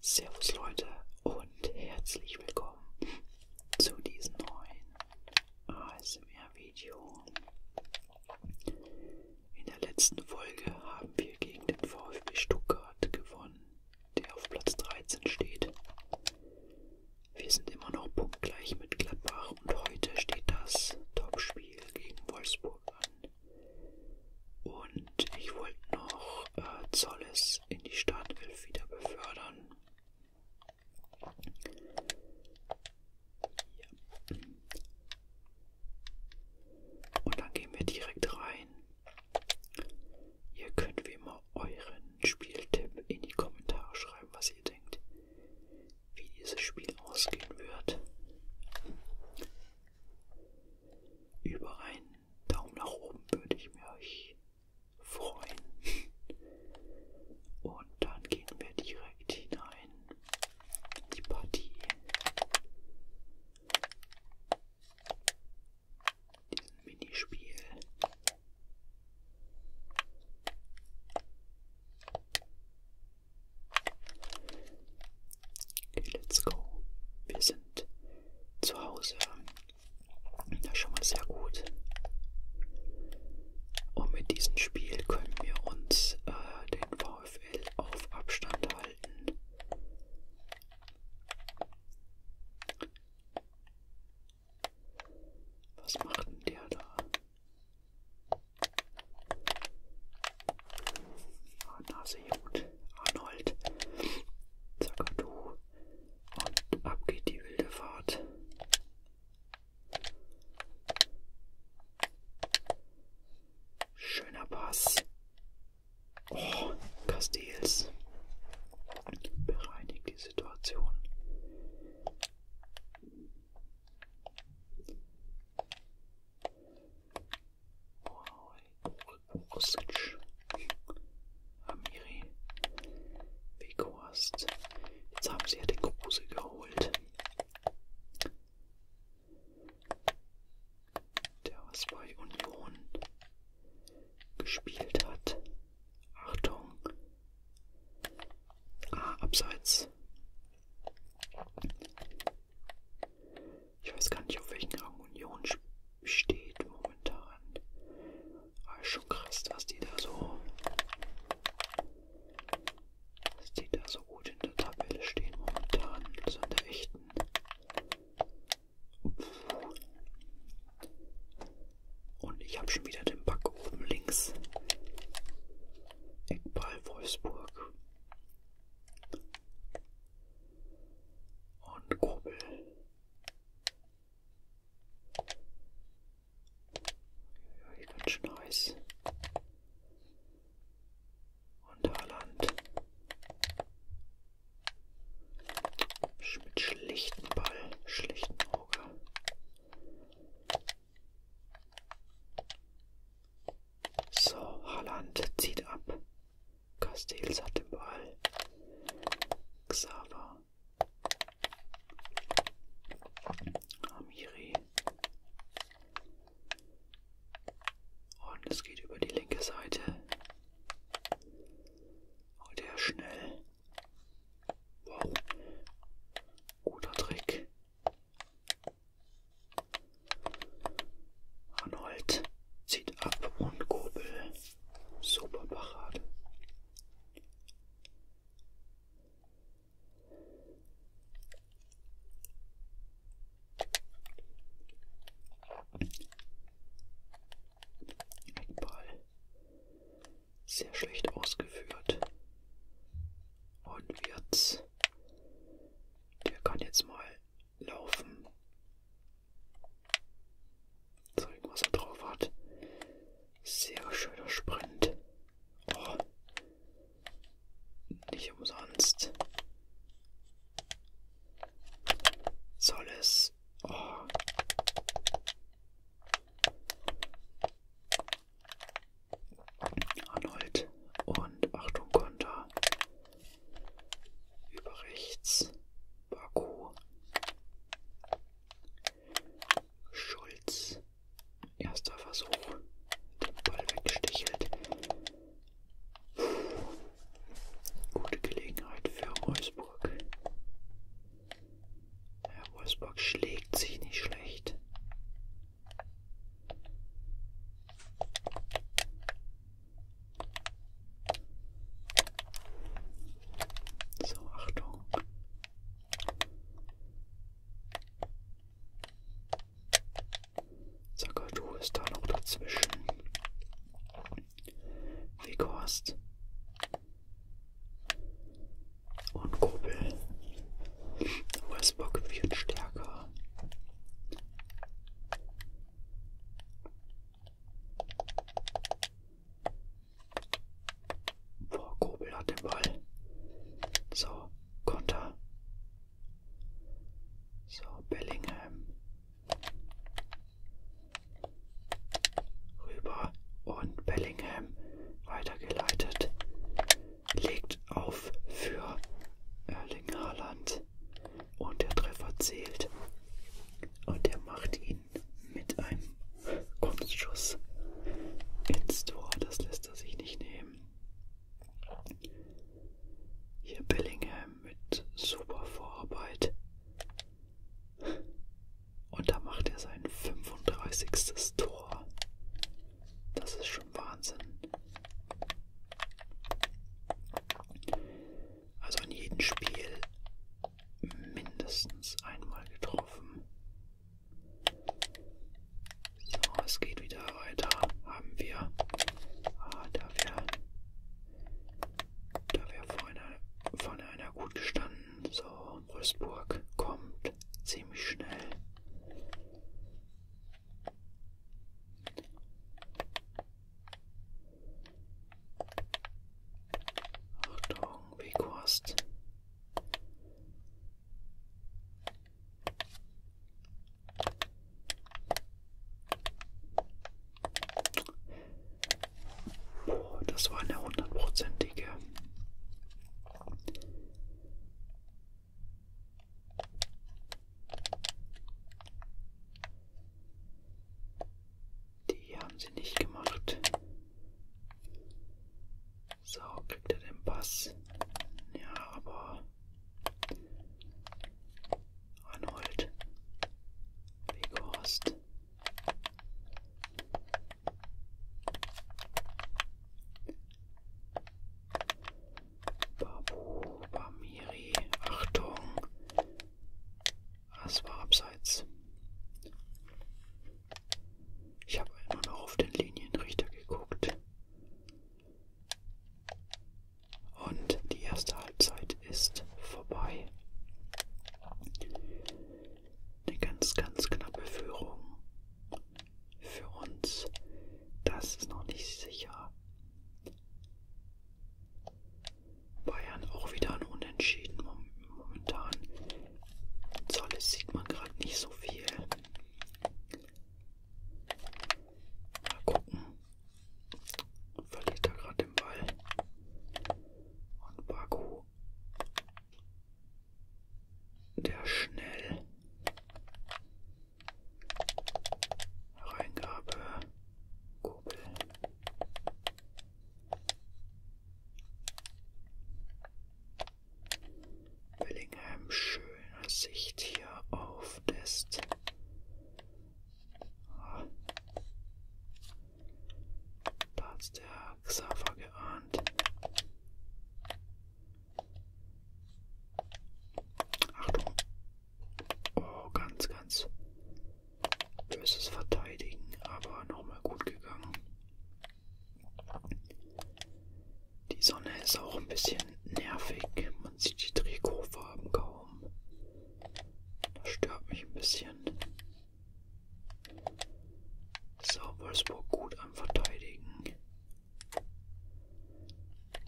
Servus Leute und herzlich willkommen zu diesem neuen ASMR-Video. In der letzten Folge haben wir gegen den VfB Stuttgart gewonnen, der auf Platz 13 steht. Wir sind immer noch punktgleich mit Gladbach und heute steht das Topspiel gegen Wolfsburg an. Und ich wollte noch äh, Zolles in die Startelf wieder befördern. Ja. Und dann gehen wir direkt rein. Ihr könnt wie immer euren Spieltipp in die Kommentare schreiben, was ihr denkt, wie dieses Spiel ausgehen wird. Über einen Daumen nach oben würde ich mich freuen. Und dann gehen wir direkt hinein in die Partie. Diesen Minispiel. Okay, let's go. Wir sind zu Hause. Das ist schon mal sehr gut. Und mit diesem Spiel können wir uns äh, den VfL auf Abstand halten. Was macht denn der da? Ah, Nase Jod, Arnold, Zackadu und ab geht die wilde Fahrt. Schöner Pass. Oh, Castells bereinigt die Situation. Borosic, Amiri, Weghorst. Jetzt haben sie ja den Kruse geholt. Der was bei Union gespielt hat. Achtung. Ah, abseits. Ich weiß gar nicht, auf welchen Rang Union steht momentan. Aber ah, schon krass, dass die da so. dass die da so gut in der Tabelle stehen momentan. Also in der echten. Puh. Und ich habe schon wieder den Bug oben links. Eckball Wolfsburg und Kurbel. Ja, ganz schön heiß. Und Haaland. Mit schlichten Ball, schlichten Auge. So, Haaland zieht ab. Castells hat den Ball. Xaver. Amiri. Und es geht über die linke Seite. Oh, der ist schnell. Wow. Guter Trick. Arnold zieht ab und Gobel. Super Parade. Eckball. Sehr schlecht ausgeführt. Und wird's der kann jetzt mal laufen. Zeigen, was er drauf hat. Sehr schöner Sprint. Oh. Nicht umsonst. Soll es. Oh. Arnold und Achtung Konter über rechts Baku Schulz erster Versuch den Ball weggestichelt Puh. gute Gelegenheit für Wolfsburg ja, Wolfsburg schlägt sich nicht schlecht so, Achtung. Zackadu ist da noch dazwischen. Weghorst und Kuppel. Westbrook wird stärker. Boah, Kobel hat den Ball. So, Konter. So, Bellingham. Rüber und Bellingham weitergeleitet legt auf für Erling Haaland und der Treffer zählt und er macht ihn mit einem Kunstschuss ins Tor. Das lässt er sich nicht nehmen. Hier Bellingham mit super Vorarbeit. Und da macht er sein 35. Tor. Das ist schon Wahnsinn. Also in jedem Spiel mindestens einmal getroffen. So, es geht wieder weiter. Haben wir. Ah, da wäre. Da wäre vorne, vorne einer gut gestanden. So, Rüstburg kommt ziemlich schnell. Achtung, Wegwurst. Das war eine hundertprozentige die haben sie nicht gemacht. So, kriegt er den Pass. Ja, aber Arnold. Weghorst. Babu, Bamiri, Achtung. Das war abseits. Ich habe immer noch auf den Linienrichter geguckt. Und die erste Halbzeit ist vorbei. Eine ganz, ganz knappe Führung für uns. Das ist noch nicht sicher. Bayern auch wieder ein Unentschieden momentan. Zolles sieht man gerade nicht so viel. Mal gucken. Verliert er gerade den Ball. Und Baku der schnell Reingabe Kurbel. Bellingham schöne Sicht hier auf Dest. Ah. Da hat der Xaver geahnt. Hand. Achtung. Oh, ganz, ganz böses Verteidigen, aber nochmal gut gegangen. Die Sonne ist auch ein bisschen nervig. Man sieht die Trikotfarben kaum. Das stört mich ein bisschen. So, Wolfsburg gut am Verteidigen.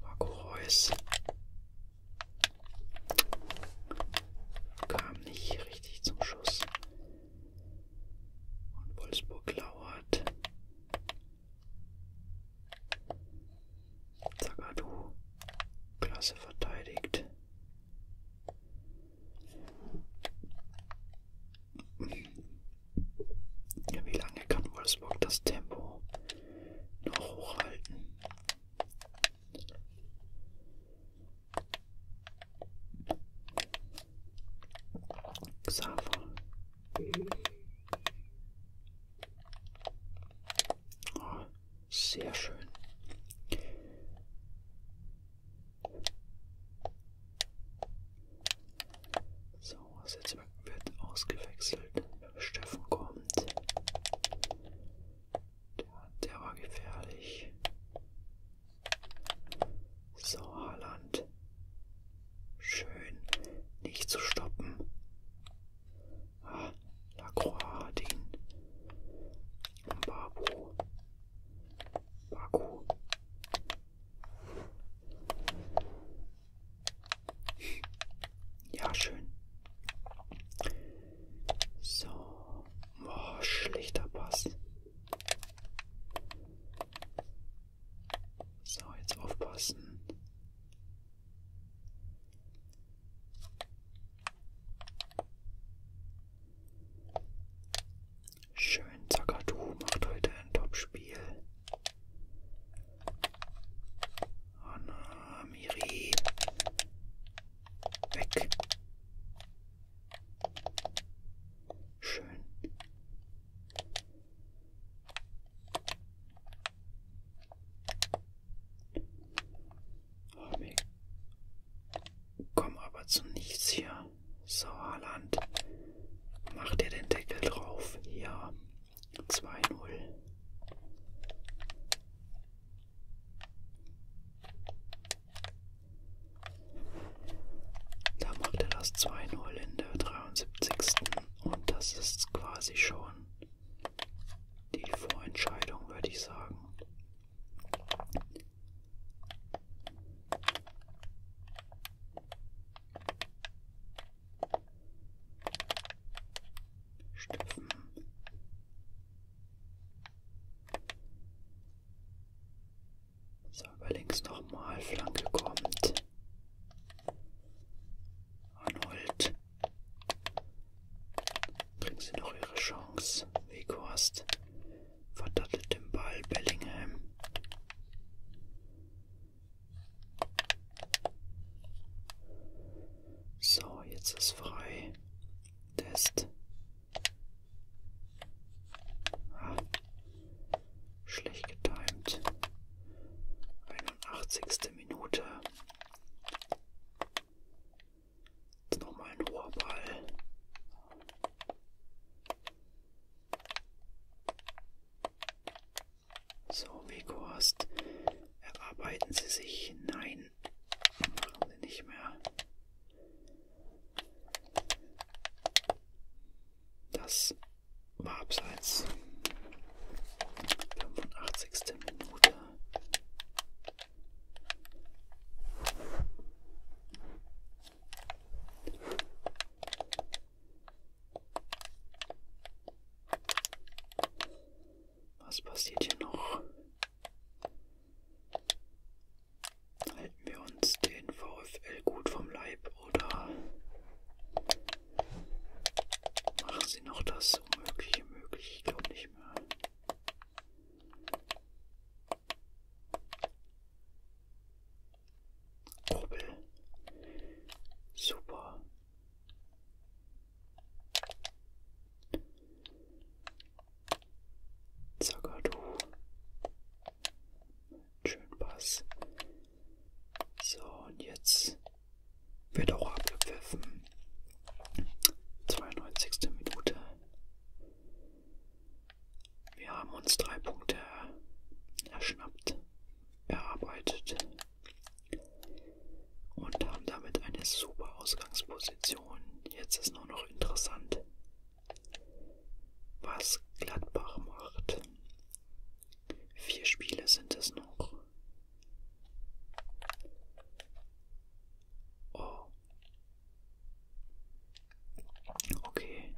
Marco Reus kam nicht richtig zum Schuss. Und Wolfsburg lauert. Zagadou, klasse verteidigt. Ja, wie lange kann Wolfsburg das Tempo noch hochhalten? Xaver. Oh, sehr schön. Sauers so, Netzwerk wird ausgewechselt. Steffen kommt. Der, der war gefährlich. So, Haaland. Schön. Nicht zu stoppen. Ah, Lacroix hat ihn. Babu. Baku. Ja, schön. So. Boah, schlechter Pass. So, jetzt aufpassen. Schön, Zakatu macht heute ein Top-Spiel. Anna, Miri. Weg. Schön. Ami. Oh, Komm aber zu nichts hier. So, Haaland. Mach dir den Deckel drauf. Ja. 2-0. Da macht er das 2-0 in der 73. Und das ist quasi schon die Vorentscheidung, würde ich sagen. Stützen. So, über links nochmal, Flanke kommt. Arnold. Kriegen sie noch ihre Chance. Weghorst verdattelt den Ball Bellingham. So, jetzt ist frei. Test. Ah, schlecht getimt. 81. Minute. Jetzt nochmal ein hoher Ball. So, Weghorst. Erarbeiten Sie sich. Nein. Machen Sie nicht mehr. Das war abseits. 85. Minute. Was passiert hier noch? Halten wir uns den VfL gut vom Leib oder machen sie noch das Unmögliche möglich? Ich glaube nicht mehr. Opel. Super. Zagadu. Schön Pass. So, und jetzt wird auch abgepfiffen. 92. Minute. Wir haben uns drei Punkte erschnappt, erarbeitet und haben damit eine super Ausgangsposition. Jetzt ist nur noch interessant, was Gladbach macht. Vier Spiele sind es noch. Oh, Okay.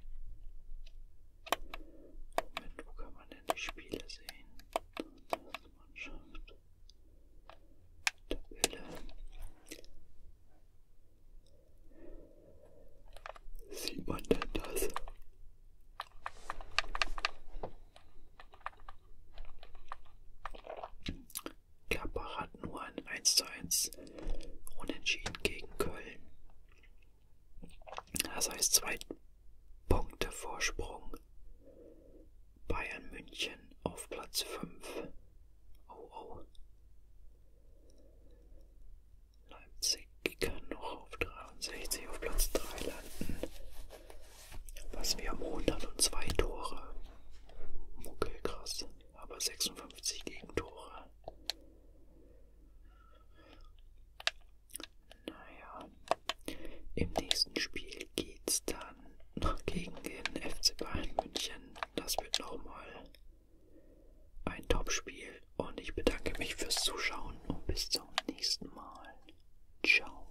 Moment, wo kann man denn die Spiele sehen? Mannschaft. Tabelle. Sieht man denn das? Gladbach hat nur ein 1:1 Unentschieden gegen Köln. Das heißt zwei Punkte Vorsprung. Bayern München auf Platz 5. Oh oh. Leipzig kann noch auf 63 auf Platz 3 landen. Was wir am 102 Tore. Okay, krass. Aber 56 Gegentore. Naja. Im nächsten Spiel geht's dann noch gegen den FC Bayern München. Das wird nochmal ein Topspiel. Und ich bedanke mich fürs Zuschauen und bis zum nächsten Mal. Ciao.